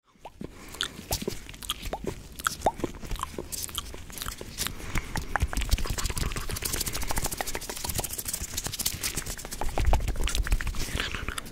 Hello,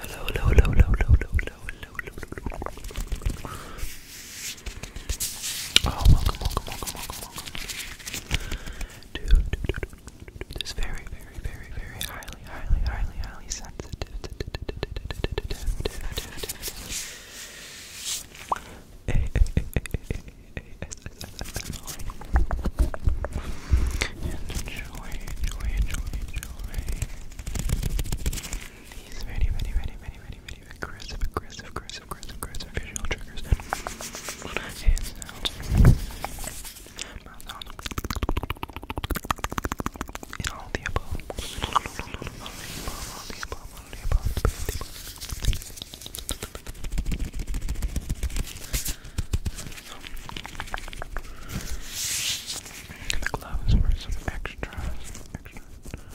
hello, hello, hello, hello, hello, hello, hello, hello, hello. Oh, welcome, welcome, welcome, welcome, welcome. To, to, to, to, to this very, very, very, very high highly, highly, highly, sensitive. And enjoy, enjoy, enjoy, enjoy. These very, very, very, very, very, very aggressive, aggressive, aggressive, aggressive, aggressive visual triggers. And sounds in all the above. All the above, all the above, all the above, all the above. And the gloves for some extra, some extra. And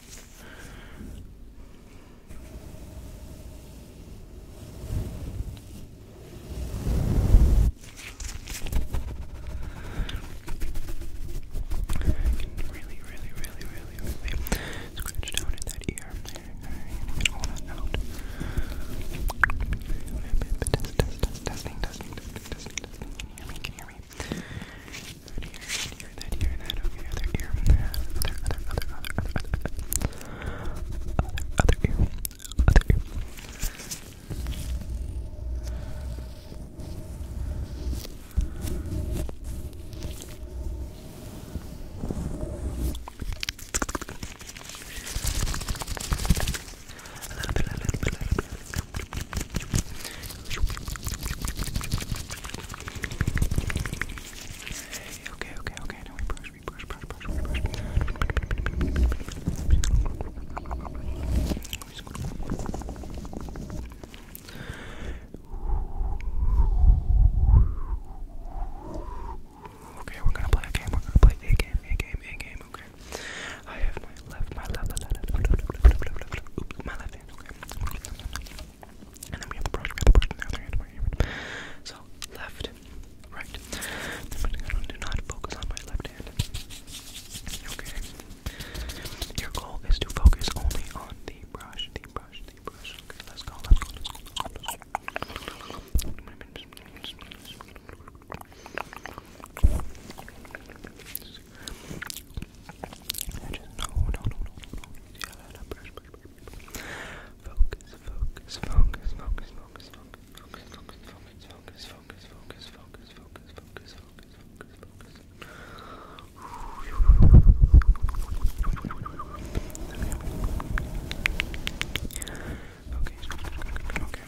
I can really, really, really, really, really scratch down at that ear. I get all that out. Testing, testing, testing, testing, testing. Can you hear me? Can you hear me? And here, and here, that here, that okay, other ear, other, other, other, other, other, other, other ear, other ear. A little bit, a little bit, a little bit. Okay, okay, okay. Now we brush, we brush, brush, brush, brush. Okay, we're gonna play a game. We're gonna play a game, a game, a game. Okay. I have my left, my left, my left, my left, Okay. And then we have the brush, we the brush on the hand, right here. So, left, right. do not focus on my left hand. Okay. Your goal is to focus only on the brush, the brush, the brush. Okay, let's go, let's go, let's go. I just no, no, no, no, no. Yeah, no, brush, Focus, focus, focus, focus, focus, focus, focus, focus, focus, focus, focus, focus, focus, focus, focus, focus, focus, focus. Okay, okay, okay, Okay,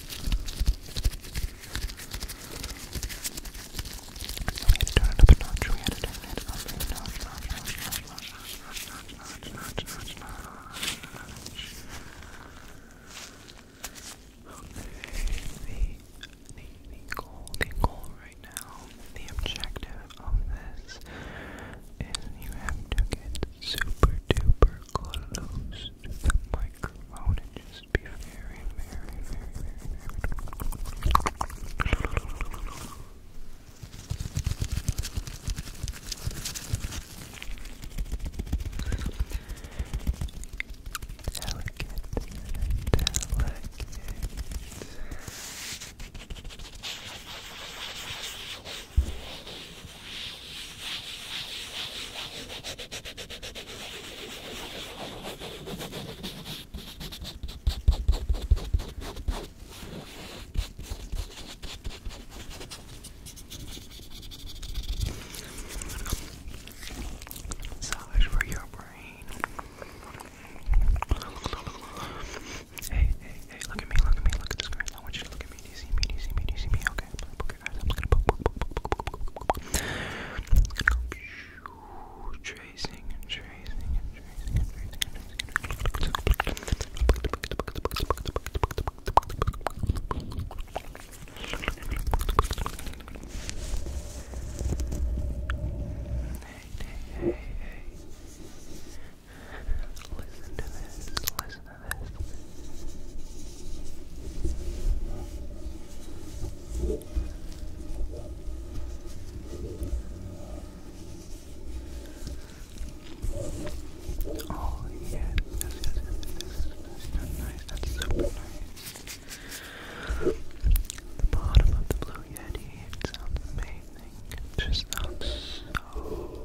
we had to turn it up a notch, we had to turn it up a notch, notch, notch, notch, notch, notch, notch, notch, notch. Okay, the, the, the goal, the goal right now, the objective of this is you have to get super duper close close to the microphone and just be very, very, very, very, very. Delicate, delicate. Massage for your brain. Hey, hey, hey, look at me, look at me, look at the screen. I want you to look at me. Do you see me? Do you see me? Do you see me? Okay. Okay, guys, I'm just gonna tracing and tracing and tracing and tracing and tracing. Hey, hey, hey, hey. Listen to this. Listen this. Oh yeah, that's, that's, that's, that's nice, that's super nice. The bottom of the Blue Yeti, it sounds amazing. It just sounds so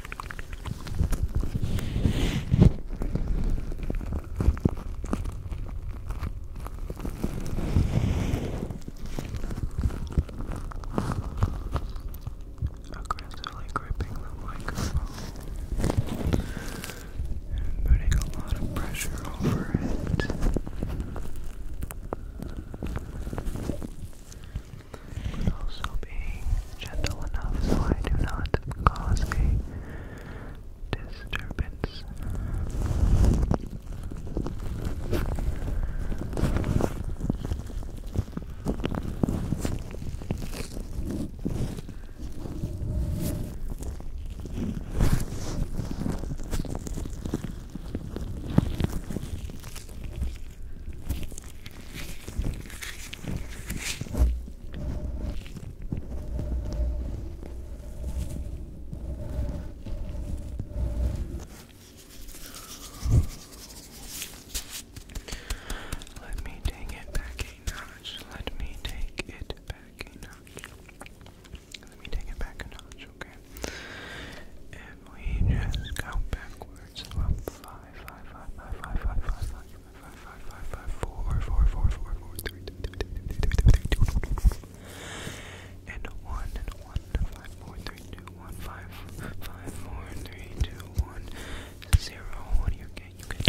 Aggressively gripping the microphone and putting a lot of pressure over it but also being gentle enough so I do not cause a disturbance. Let me take it back a notch. Let me take it back a notch. Let me take it back a notch, okay? If we just go backwards about five, five, five, five, five, five, five, five and one and one five four three two one five five four three two one zero. What do you get? You get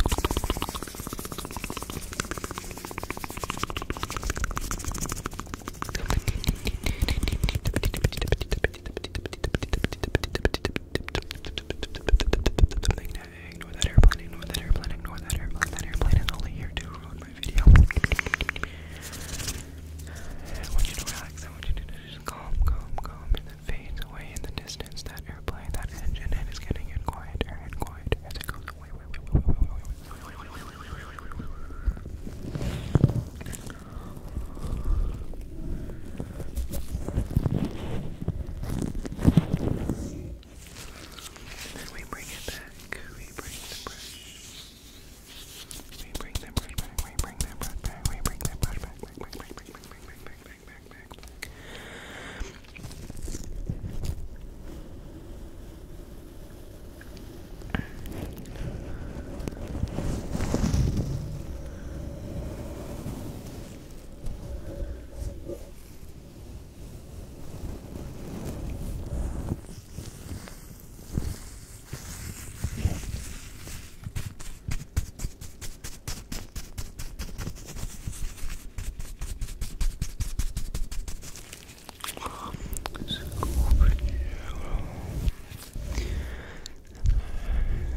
Ignore that airplane, ignore that airplane, ignore that airplane. That airplane is only here to ruin my video. I want you to relax. I want you to just calm, calm, calm. And then fades away in the distance. That airplane, that engine, and it's getting in quieter and as it goes then we bring it back. We bring the brush. We bring the brush back. We bring that brush back. We bring that brush back. Back, back, back, back, back, back, back, back, back, back, back, back. Back,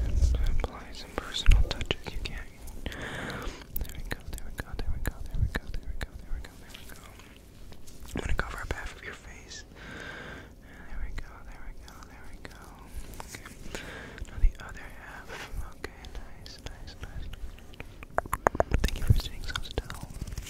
and apply some personal touches you can. There we go, there we go, there we go, there we go, there we go, there we go, there we go. I'm gonna cover up half of your face. There we go, there we go, there we go. Now the other half. Okay, nice, nice, nice. Thank you for staying so still. Okay,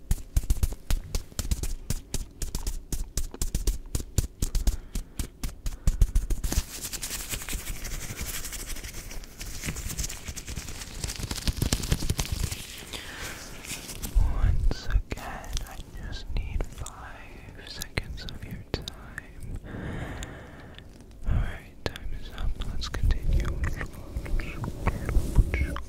Once again, I just need five seconds of your time. Alright, time is up. Let's continue.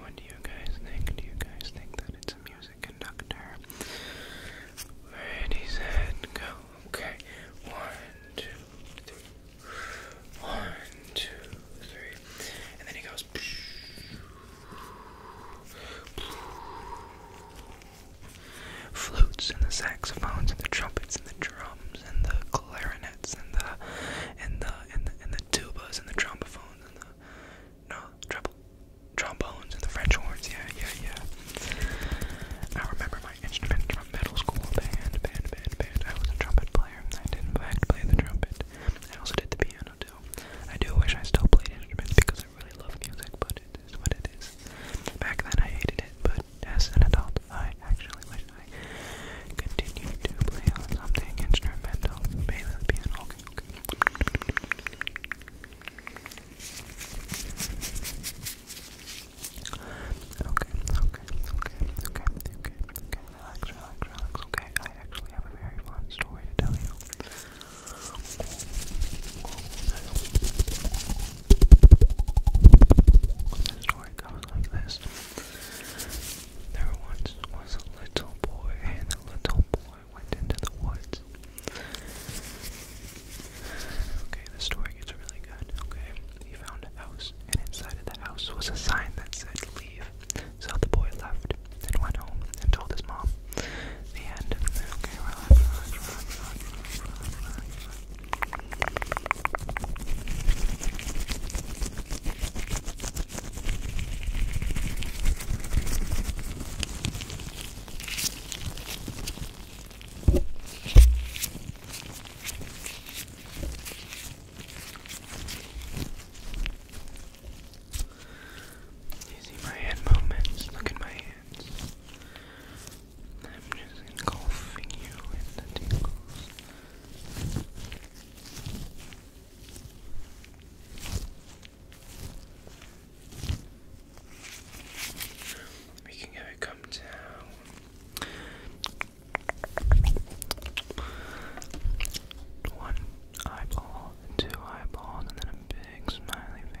What do you guys think? Do you guys think that it's a music conductor? Where did go? Okay, one, two, three. One, two, three. And then he goes. Flutes and the saxophones and the trumpets and the drums and the clarinets and the and the and the and the tubas and the trombophones and the no treble trombones and the French horns. Yeah, yeah, yeah. I remember my instrument from middle school band, band, band, band. I was a trumpet player. I did in fact play the trumpet. I also did the piano too. I do wish I still played instruments because I really love music, but it is what it is. Back then I hated it, but as an adult I actually wish I continue to play something instrumental. Maybe the piano. Okay, okay. Okay, okay, okay, okay, Okay, I actually have a very fun story to tell you. The story goes like this. There once was a little boy, and the little boy went into the woods. Okay, the story gets really good. Okay, he found a house, and inside of the house was a sign that said leave. So the boy left and went home and told his mom. The end. Okay, relax, relax, relax, relax, relax, relax, relax. You see my hand movements? Look at my hands. I'm just engulfing you in the tingles. We can have it come down. One eyeball, two eyeballs, and then a big smiley face.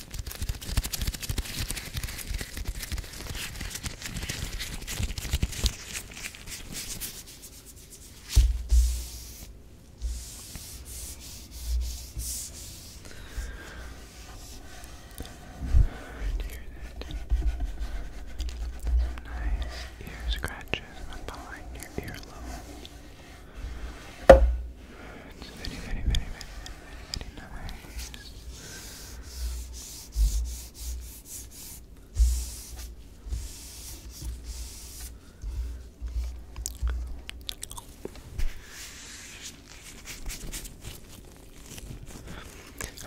Do you hear that? Some nice ear scratches up behind your earlobe. It's very, very, very, very, very, very, nice.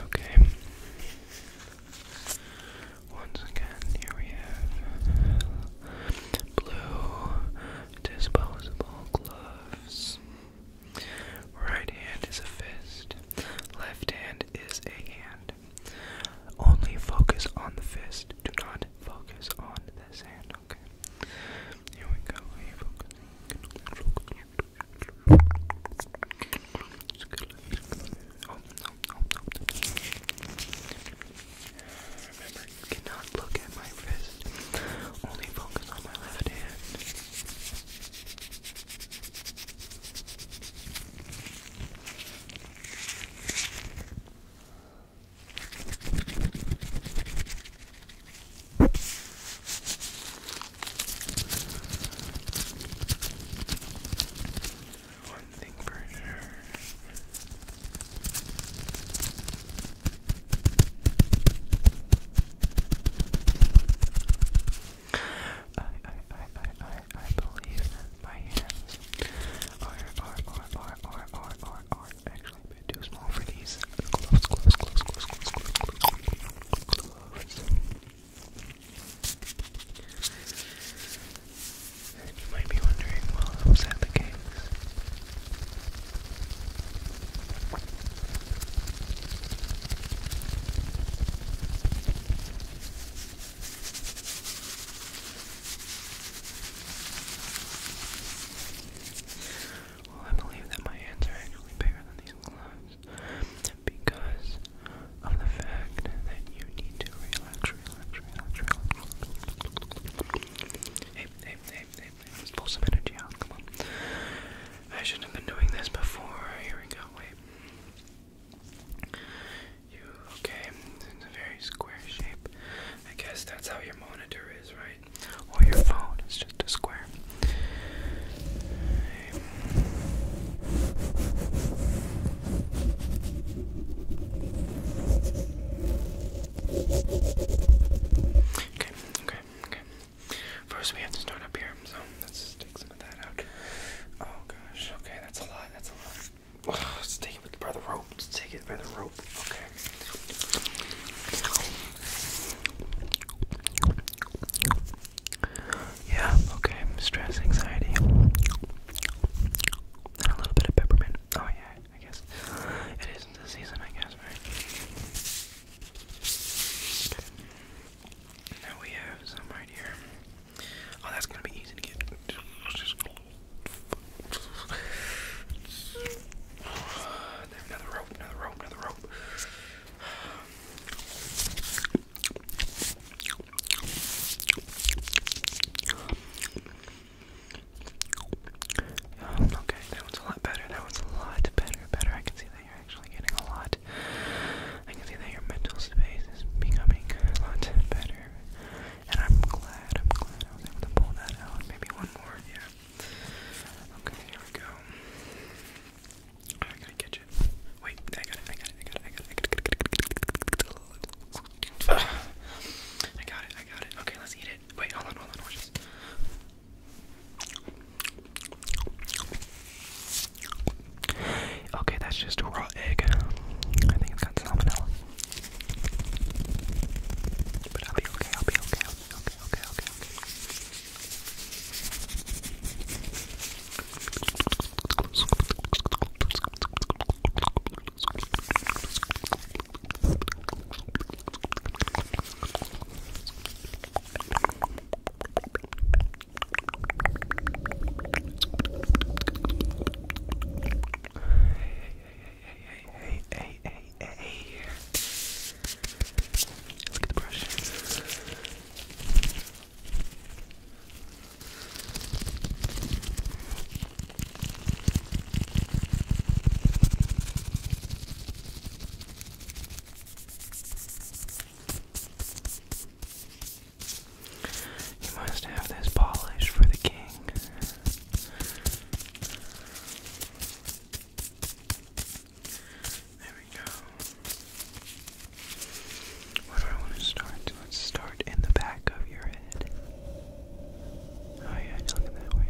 Okay. Once again, here we have blue disposable gloves. Right hand is a fist, left hand is a hand. Only focus on the fist, do not focus on this hand, okay? Here we go, are remember cannot look at my fist. Only focus on my left hand. One thing for sure. I, I, I, I, I believe my hands are, are, are, are, are, are, are, actually a bit too small for these gloves, gloves, gloves, gloves, gloves, gloves, gloves, gloves. you might be wondering, well, who's at the games? Well, I believe that my hands are actually bigger than these gloves because of the fact that you need to relax, relax, relax, relax pull some energy out. Come on. I shouldn't have been doing this before. Here we go. Wait. You okay? It's a very square shape. I guess that's how your monitor is, right? Or your phone. It's just a square. Okay. Okay. First we have to start up here, so let's take some of that out. Oh gosh, okay, that's a lot, that's a lot. let's take it by the rope. Let's take it by the rope. Okay. Yeah, okay. Stress, anxiety. And a little bit of peppermint. Oh yeah, I guess. It isn't the season, I guess, now we have some right here. Oh, that's gonna be easy to get. Another rope, another rope, another rope. Um, okay, that one's a lot better. That one's a lot better. Better. I can see that you're actually getting a lot. I can see that your mental space is becoming a lot better. And I'm glad. I'm glad I was able to pull that out. Maybe one more. Yeah. Okay. Here we go. I gotta catch it. Wait. I got it. I got it. I got it. I got it. I got it. I got it. Okay. Let's eat it. Wait. Hold on. Hold on. Watch this. Okay, that's just a raw egg. I think it's got salmonella. But I'll be okay, I'll be okay, I'll be okay, okay, okay, okay hey, hey, hey, hey, hey. Let's get the brush. Okay. You must have this polish for the king. There we go. Where do I want to start? Let's start in the back of your head. Oh yeah, look that way.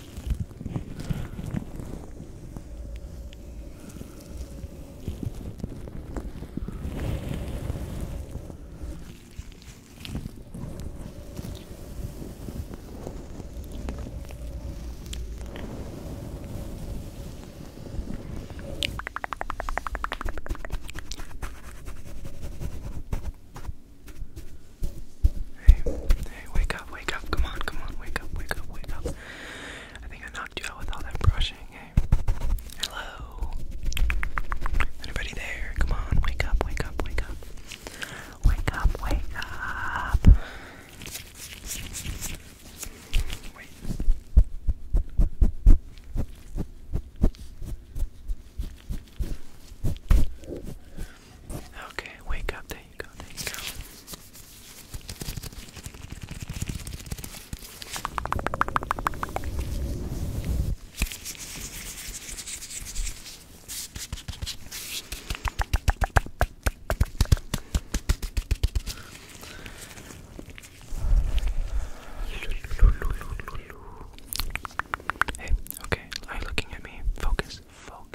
Hey, hey, wake up, wake up, come on, come on, wake up, wake up, wake up. I think I knocked you out with all that brushing. Eh? hello. Anybody there? Come on, wake up, wake up, wake up. Wake up, wake up. Okay, wake up, they you go, there you go. Hey, okay, are you looking at me? Focus, focus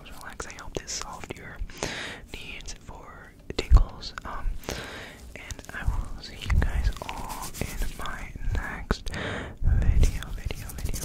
I hope this solved your needs for tingles. Um, and I will see you guys all in my next video, video, video.